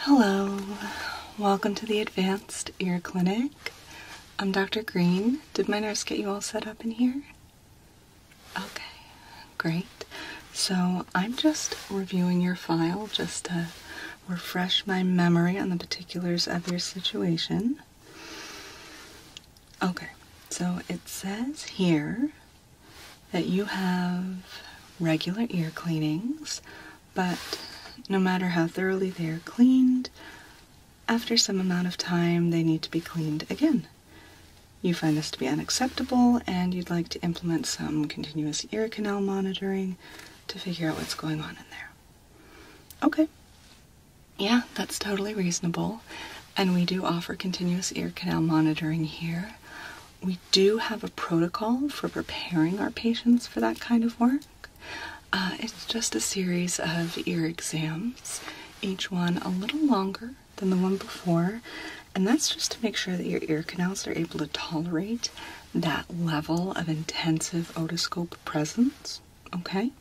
Hello, welcome to the Advanced Ear Clinic. I'm Dr. Green. Did my nurse get you all set up in here? Okay, great. So I'm just reviewing your file just to refresh my memory on the particulars of your situation. Okay, so it says here that you have regular ear cleanings, but no matter how thoroughly they are cleaned, after some amount of time they need to be cleaned again. You find this to be unacceptable and you'd like to implement some continuous ear canal monitoring to figure out what's going on in there. Okay. Yeah, that's totally reasonable. And we do offer continuous ear canal monitoring here. We do have a protocol for preparing our patients for that kind of work. Uh, it's just a series of ear exams, each one a little longer than the one before, and that's just to make sure that your ear canals are able to tolerate that level of intensive otoscope presence. Okay?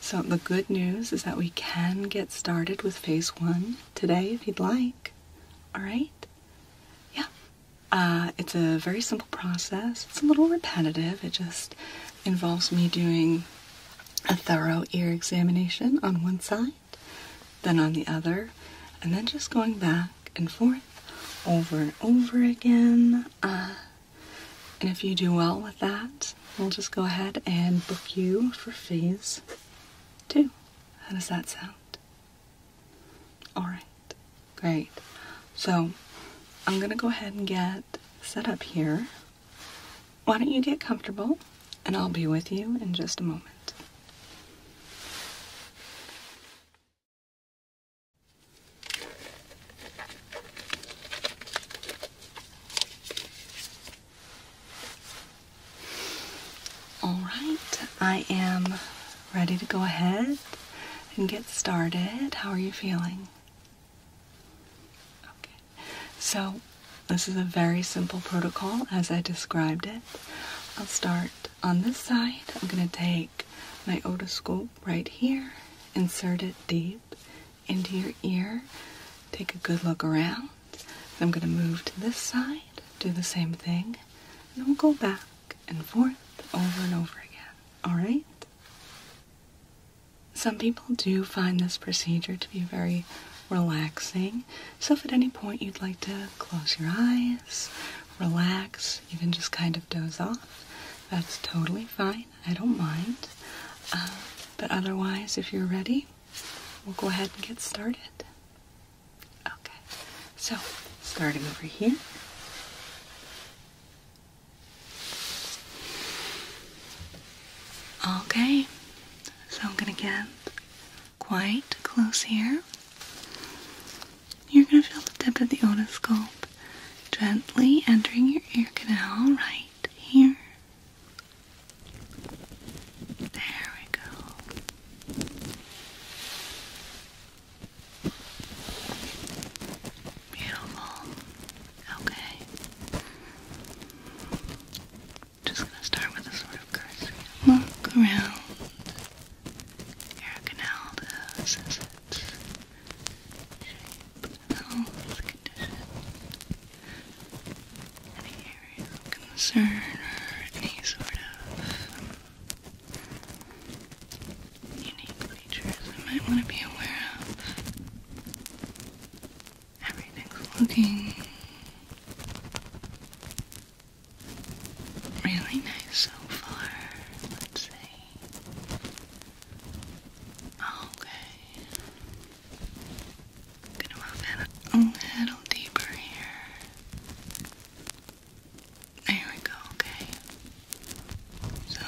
So, the good news is that we can get started with phase one today if you'd like. All right? Yeah. Uh, it's a very simple process. It's a little repetitive. It just involves me doing a thorough ear examination on one side, then on the other, and then just going back and forth over and over again. Uh, and if you do well with that, we'll just go ahead and book you for phase two. How does that sound? All right, great. So I'm gonna go ahead and get set up here. Why don't you get comfortable and I'll be with you in just a moment. Alright, I am ready to go ahead and get started. How are you feeling? Okay, so this is a very simple protocol as I described it. I'll start on this side. I'm going to take my otoscope right here, insert it deep into your ear, take a good look around. I'm going to move to this side, do the same thing, and we'll go back and forth over and over again. All right? Some people do find this procedure to be very relaxing. So, if at any point you'd like to close your eyes, relax, even just kind of doze off, that's totally fine. I don't mind. Uh, but otherwise, if you're ready, we'll go ahead and get started. Okay, so starting over here. Okay, so I'm going to get quite close here. You're going to feel the tip of the otoscope gently entering your ear canal right here. There we go. Beautiful. Okay. Just gonna start with a sort of look around your canal to assess its shape, health, condition any area of concern or any sort of unique features I might want to be aware of. Everything's looking really nice so far. Let's see. Okay. I'm gonna move in a little deeper here. There we go, okay. So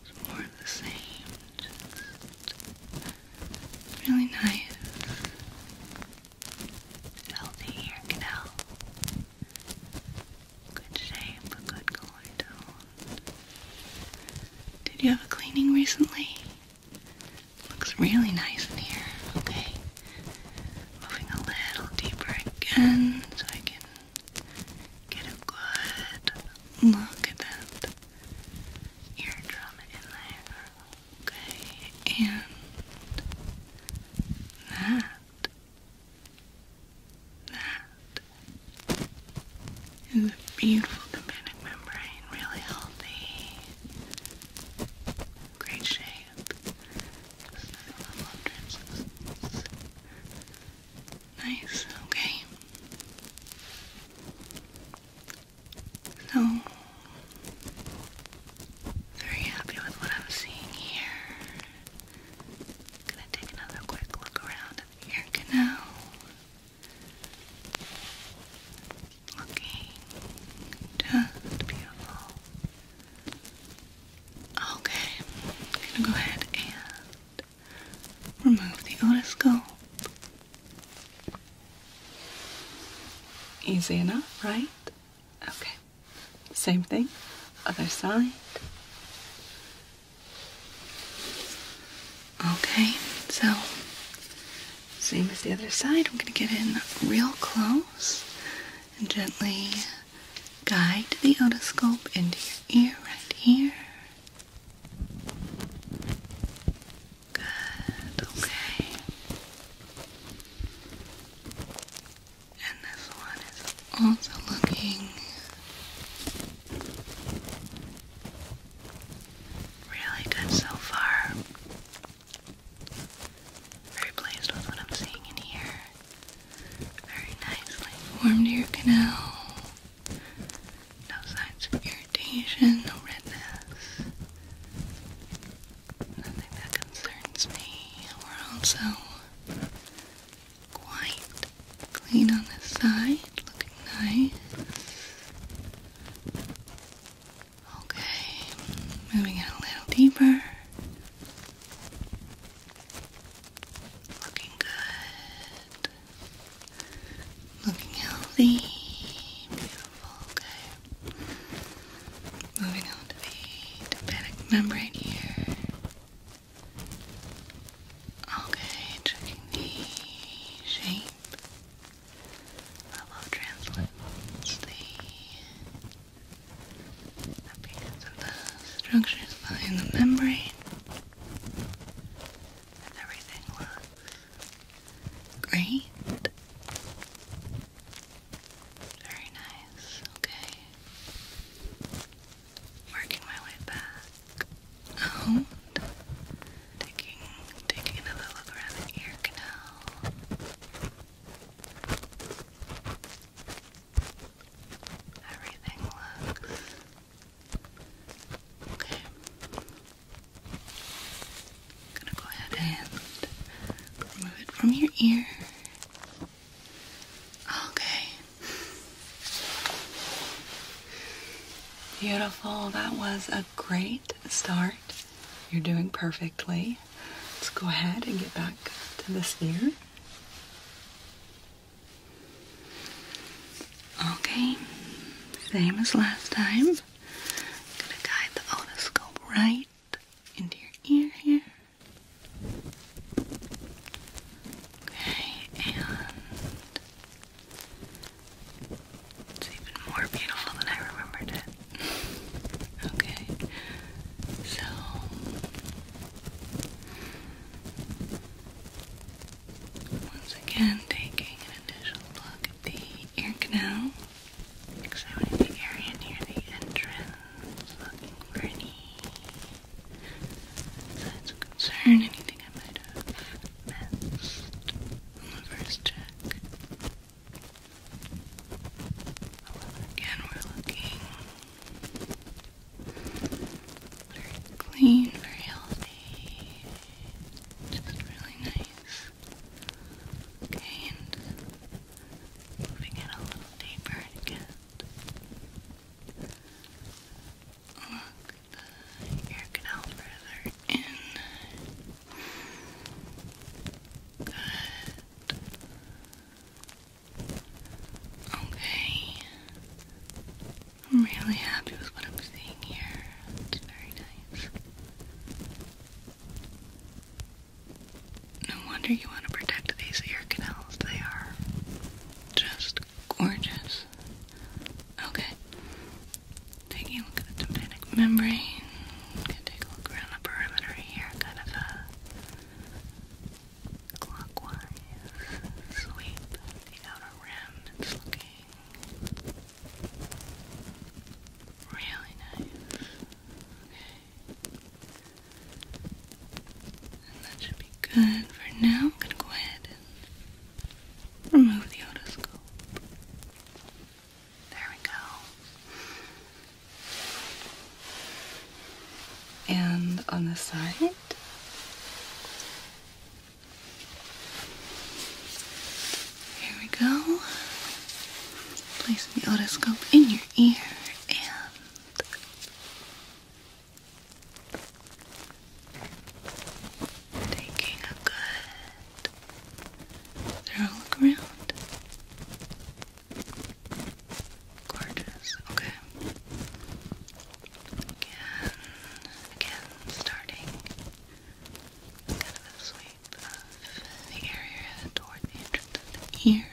it's more the same, really nice, healthy ear canal. Good shape, a good color tone. Did you have a cleaning recently? Looks really nice in here. Okay. Moving a little deeper again so I can get a good look at that eardrum in there. Okay. And that that is a beautiful companion membrane, really healthy, great shape, Nice, okay. So, very happy with what I'm seeing here gonna take another quick look around ear canal. Looking just beautiful. Okay, gonna go ahead and remove the otoscope. Easy enough, right? Okay. Same thing. Other side. Okay, so same as the other side, I'm going to get in real close and gently guide the otoscope into your ear right here. Good, okay. And this one is also looking really good so far. Very pleased with what I'm seeing in here. Very nicely formed ear canal. No signs of irritation, no redness. Nothing that concerns me. We're also quite clean on the side, looking nice. Okay, moving it a little deeper. Looking good. Looking healthy. Beautiful. Okay. Moving on to the hepatic membrane here. Okay, checking the shape. Level of translates the appearance of the structures behind the membrane. everything looks great. Very nice. Okay working my way back out, oh, taking, taking another look around the ear canal. Everything looks okay. gonna go ahead and remove it from your ear. Okay. Beautiful. That was a great start. You're doing perfectly. Let's go ahead and get back to this ear. Okay, same as last time. gonna guide the otoscope right into your ear here. Okay, and it's even more beautiful than I remembered it. okay, so once again, taking an initial look at the ear canal, examining the area near the entrance, looking for any Signs of concern, anything I might have missed on the first check. However, again, we're looking very clean, very healthy, just really nice. Okay, and moving it a little deeper to Lock the ear canal further in. Good. Okay. I'm really happy with what I'm seeing here. It's very nice. No wonder you want to protect these ear canals. They are just gorgeous. Okay. Taking a look at the tympanic membrane. take a look around the perimeter here, kind of a uh, clockwise sweep of the rim. It's looking really nice. Okay. And that should be good for now. go ahead and remove the otoscope. There we go. And on the side. Here we go. Place the otoscope in your ear and Taking a good thorough look around. Gorgeous. Okay. Again, again, starting kind of a sweep of the area toward the entrance of the ear.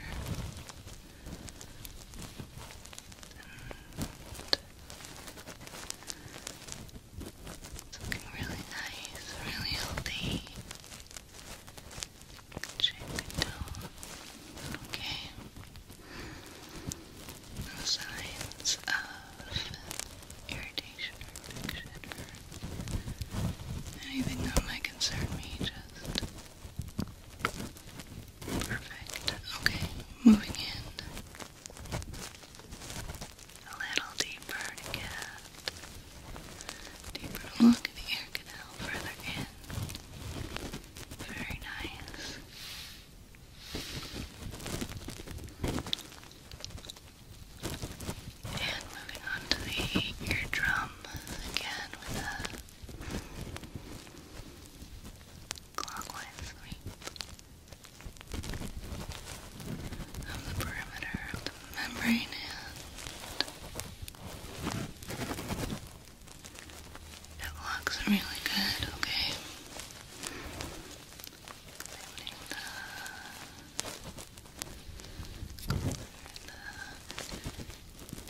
It's looking really nice, really healthy. Check it out. Okay. No signs of irritation or infection or anything that might concern me, just Perfect. Okay, moving in a little deeper to deeper look at the air canal further in. Very nice. And moving on to the eardrum again with a Clockwise of the perimeter of the membrane and it looks really good, okay?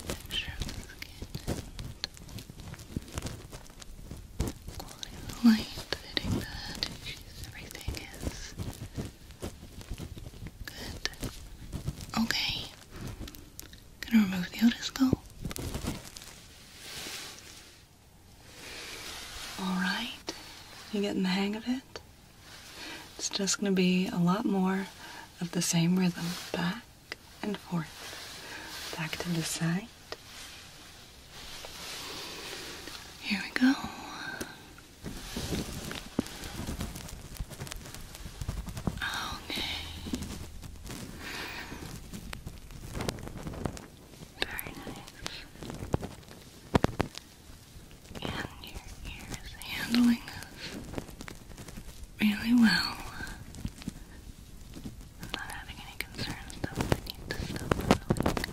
texture of skin quality of the light hitting the Everything is good. Okay. Gonna remove the otoscope. Alright, you getting the hang of it? It's just gonna be a lot more of the same rhythm. Back, and forth, back to the side. Here we go. Okay. Very nice. And your ear is handling this really well. I'm not having any concerns though I need to stop really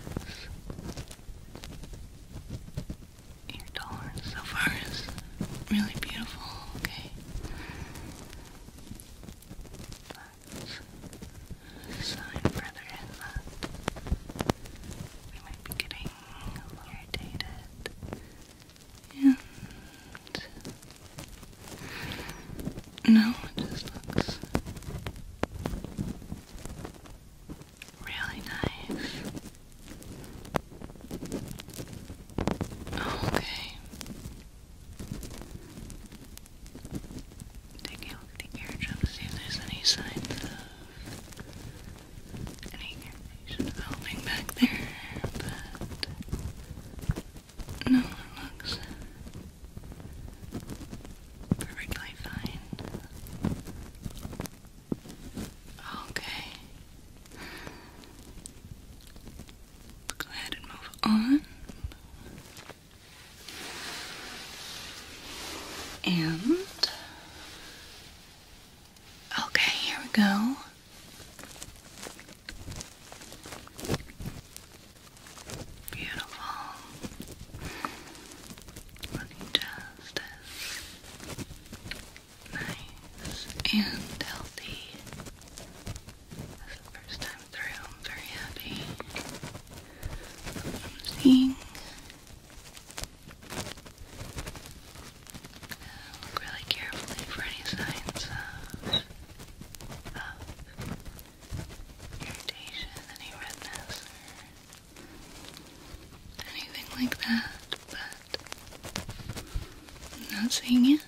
because your tolerance so far is really beautiful, okay? But sign further in we might be getting irritated. Yeah. no, it just looks really nice. Okay. Take a look at the eardrum see if there's any signs of any should back there, but no, it looks perfectly fine. Okay. Go ahead and move on. And okay, here we go. Beautiful. Looking just as nice and healthy first time through. I'm very happy. I'm seeing look really carefully for any signs of, irritation, any redness, anything like that, but not seeing it.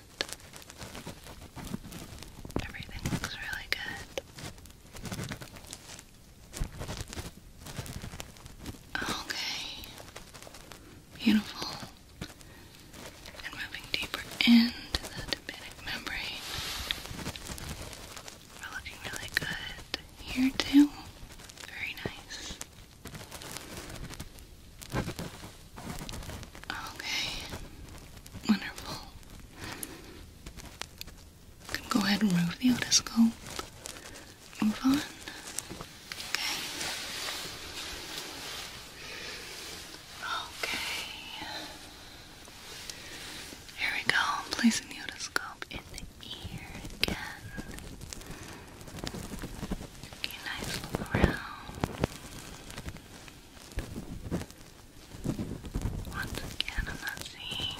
Everything looks really good. Okay. Beautiful. And moving deeper into the tympanic membrane. We're looking really good here too. Very nice. Okay. Wonderful. can go ahead and remove the otoscope. Move on. Okay. Here we go. placing the otoscope in the ear again. Okay, nice look around. Once again, I'm not seeing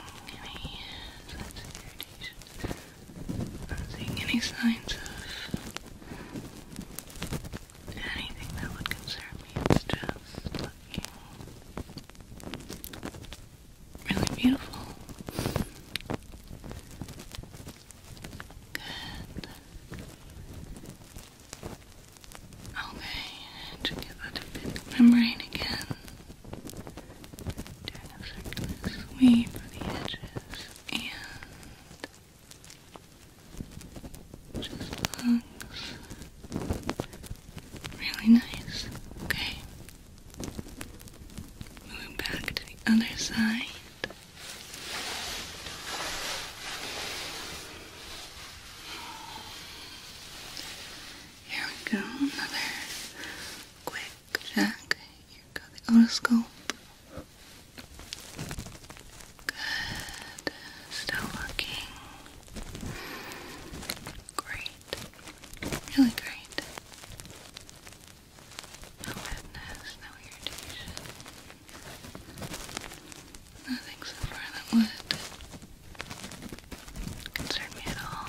any signs not seeing any signs of anything that would concern me. It's just looking really beautiful. Good. Okay, and get that membrane again. Doing a circular sweep of the edges and just looks really nice. Okay. Moving back to the other side. Here we go, another quick check. Here we the otoscope. Good. Still looking great. Really great. No wetness, no irritation. Nothing so far that would concern me at all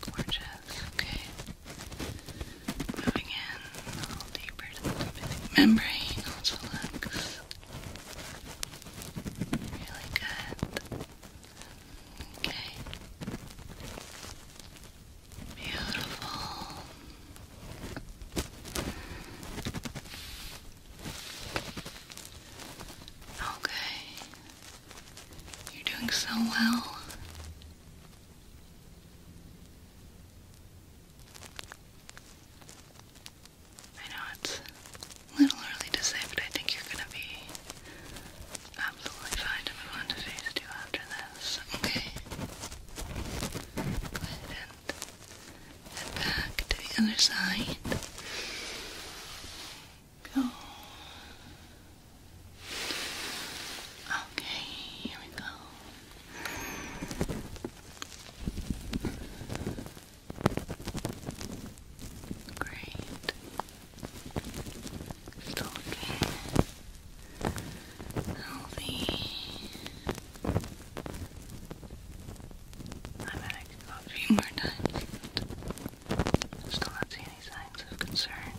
gorgeous. Okay. Moving in a little deeper to the lipid membrane really good. Okay. Beautiful. Okay. You're doing so well. I know it's little early to say, but I think you're gonna be absolutely fine to move on to phase two after this, okay? Go ahead and head back to the other side. Okay, here we go. Great. Still healthy. I bet I could more times. Still not see any signs of concern.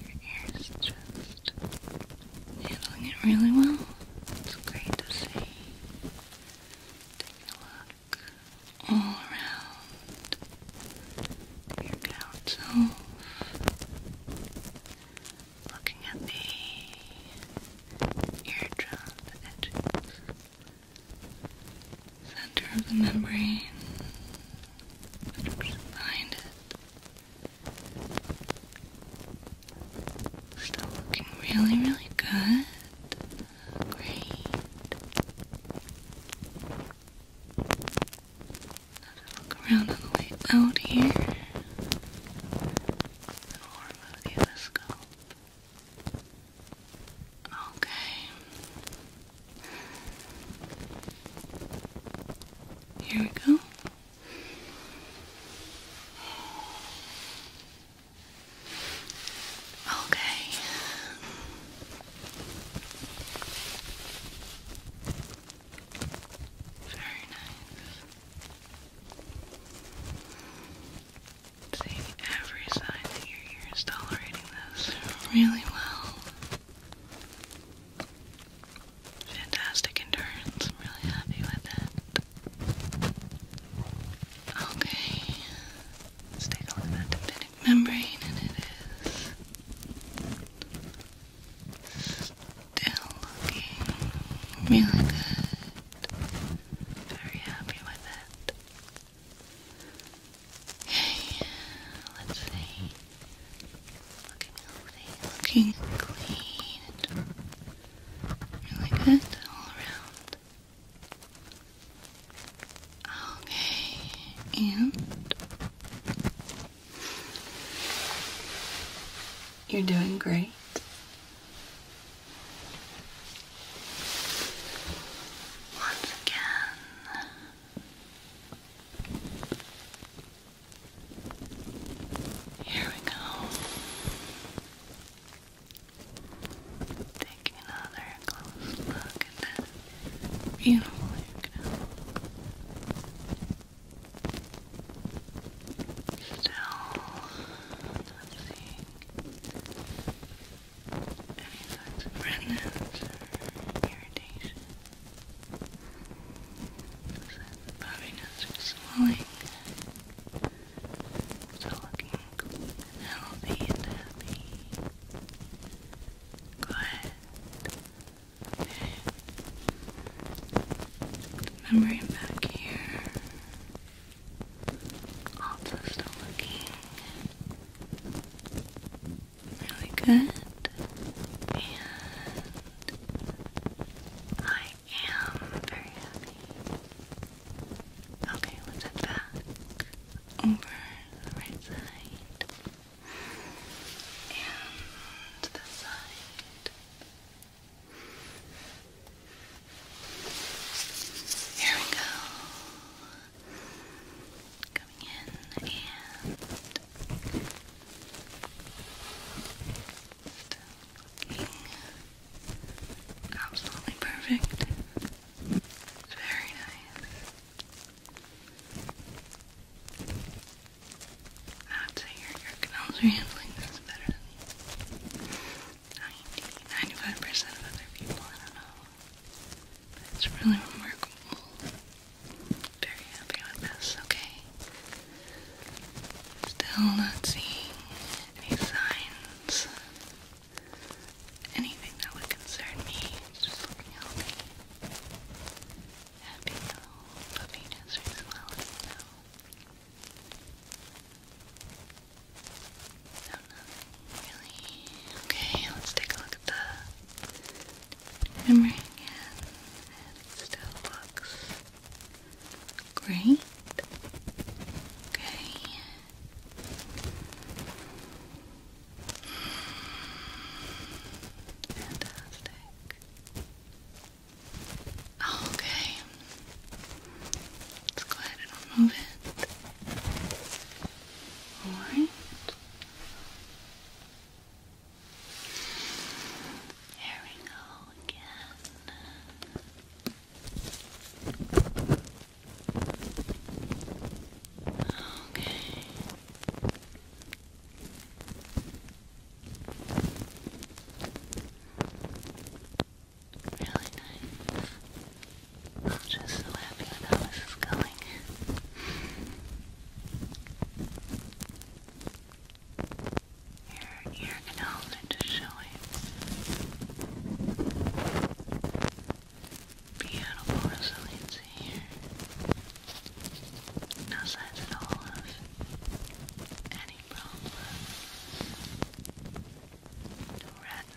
Your ears just handling it really well. It's great to see. Take a look all around your gown Looking at the eardrum, the edges center of the membrane, behind it. Still looking really, really good. Great. Let's look around on the way out here. And we the other Okay. Here we go. Okay. Very nice. See every side that your ear is tolerating this really well. Fantastic endurance. really happy with it. Okay. Let's take a look at membrane and it is still looking really good. Very happy with it. Okay, let's see. Looking healthy, looking clean, really good all around. Okay, and you're doing great. Once again. Here we go. Taking another close look at that beautiful hair Still not any signs of redness or irritation. Is puffiness or swelling? Still looking healthy and happy. Quiet. Okay. back here. Also still looking Really good. And I am very happy. Okay, let's head back over the right side and the side. Here we go coming in and looking absolutely perfect. It's very nice. I would say your, your canals are handling this better than 90, 95% of other people. I don't know. It's really remarkable. Very happy with this, okay? Still not seeing any signs. Anything that would concern me. just looking healthy. Happy little puppy nursery as well, Okay, let's take a look at the memory again. it still looks great. Okay. Fantastic. Okay. Let's go ahead and remove it. All right. Here we go again. Okay. Really nice. I'm just so happy with how this is going. Your ear canals are just showing. Beautiful resiliency here. No signs at all of any problem redness,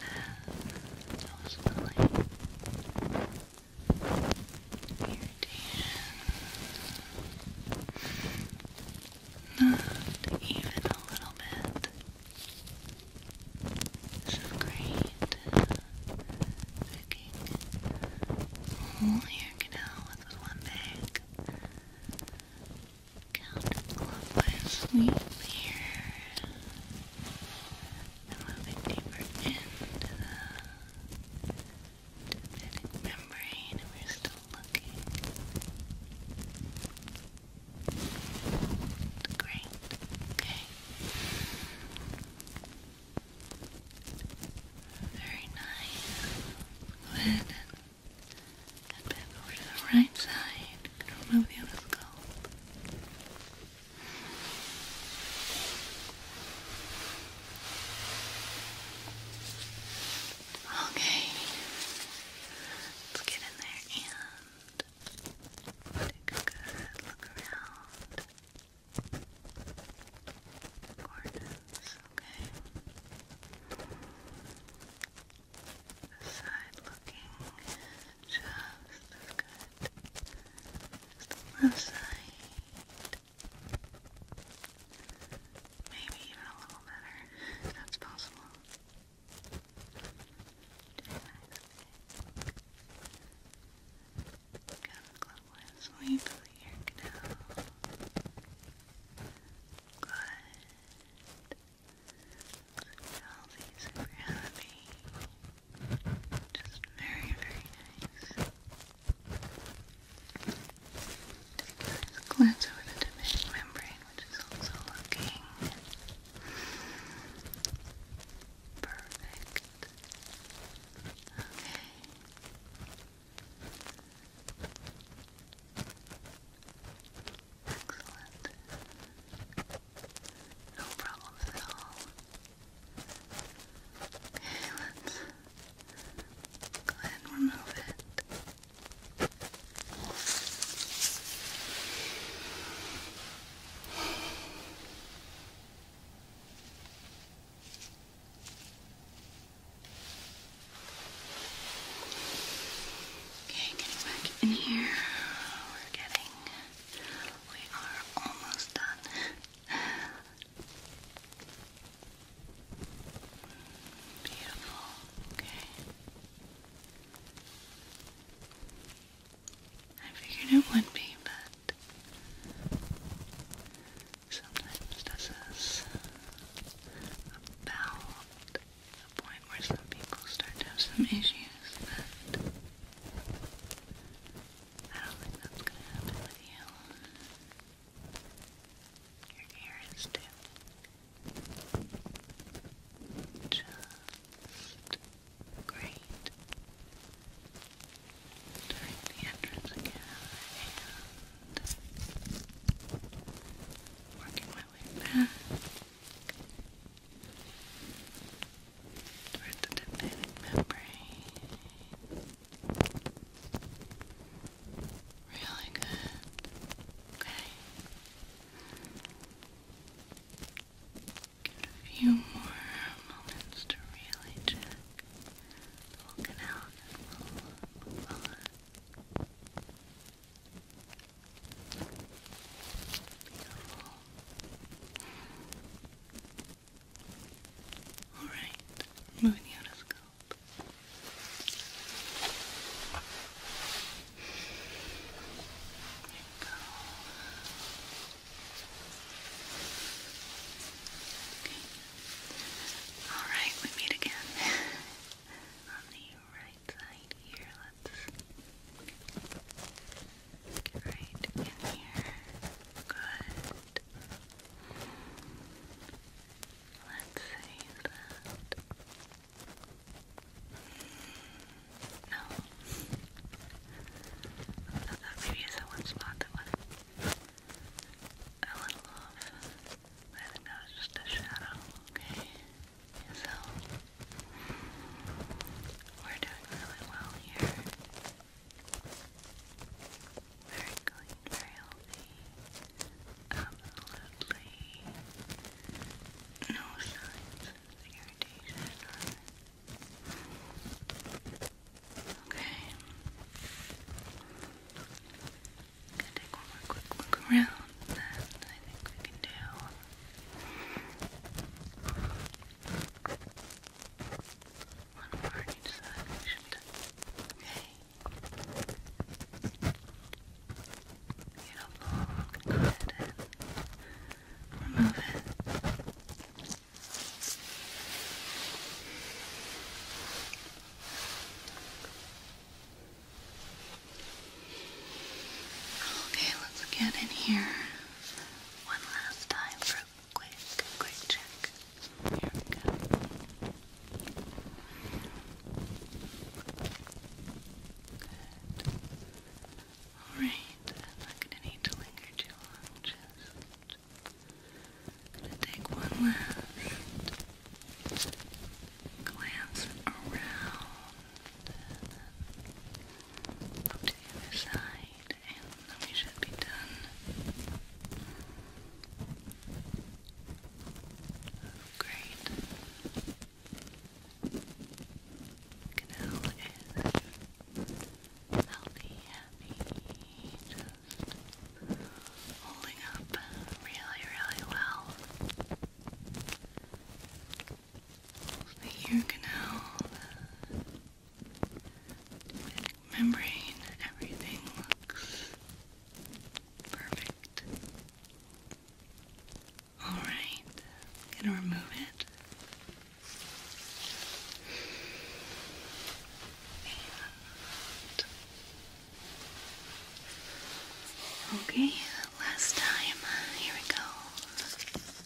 swelling, irritation, not even a little bit. This is great. whole hair canal with one bag. Counterclockwise here. And moving deeper into the membrane, and we're still looking. Great. Okay. Very nice. Go ahead and head over to the right side. Remove the other skull. Okay, let's get in there and take a good look around. Gorgeous, okay. This looking just as good as the Maybe even a little better, that's possible. Counterclockwise sweep of the ear canal. Super healthy, super happy. Just very, very nice. Take a glance over the tympanic membrane, which is also looking perfect. Okay. Excellent. No problems at all. Okay, let's go ahead and remove it. Okay, getting back in here. We're getting we are almost done. Beautiful, okay. I figured it would be, but sometimes this is about the point where some people start to have some issues that I don't think that's gonna happen with you. Your ear is too. Just great. During the entrance again working my way back or the lymphatic membrane. Really good. Okay. Give a few more moments to really check the canal and we'll move Beautiful. All right, moving There you go. Okay. All right, we meet again on the right side here. Let's. Right in here. Good. Let's see No. I thought maybe is that one spot that was a little off. I think that was just a shadow. Okay. So we're doing really well here. Very clean, very healthy. Absolutely no signs of irritation Okay. I'm take one look around and I think we can do one more in each direction. Okay. Beautiful. Go ahead and remove it. Okay, let's get in here one last time for a quick, quick check. Here we go. Good. Alright, I'm not going to need to linger too long, just gonna take one last glance around and up to the other side, we should be done. Oh, great. Canal is healthy, happy, just holding up really, really well the ear canal, membrane, everything looks perfect. Alright, gonna remove it. okay, last time. Uh, here we go. I'm just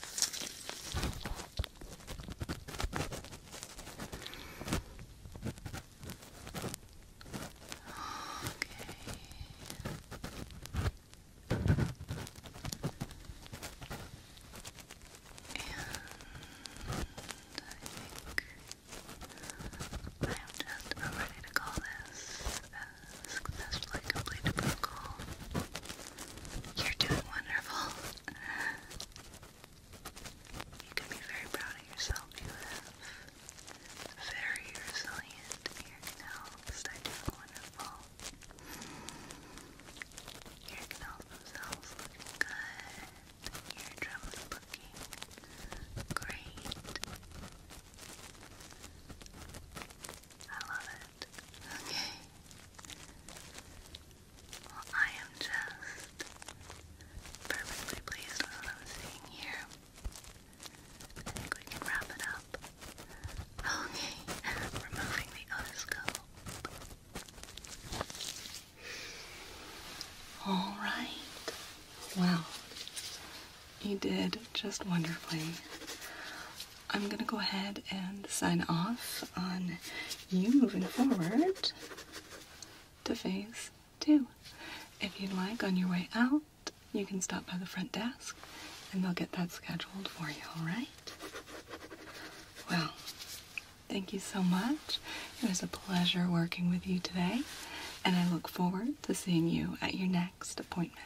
ready to call this ask. Best luck completed protocol. You're doing wonderful. You can be very proud of yourself. You have very resilient ear canals that do wonderful. Ear canals themselves looking good. Eardrums looking great. I love Okay. I am just perfectly pleased with what here. I think we can wrap it up. Okay, removing the otoscope. All right. Well, you did just wonderfully. I'm going to go ahead and sign off on you moving forward to phase two. If you'd like, on your way out, you can stop by the front desk and they'll get that scheduled for you, all right? Well, thank you so much. It was a pleasure working with you today, and I look forward to seeing you at your next appointment.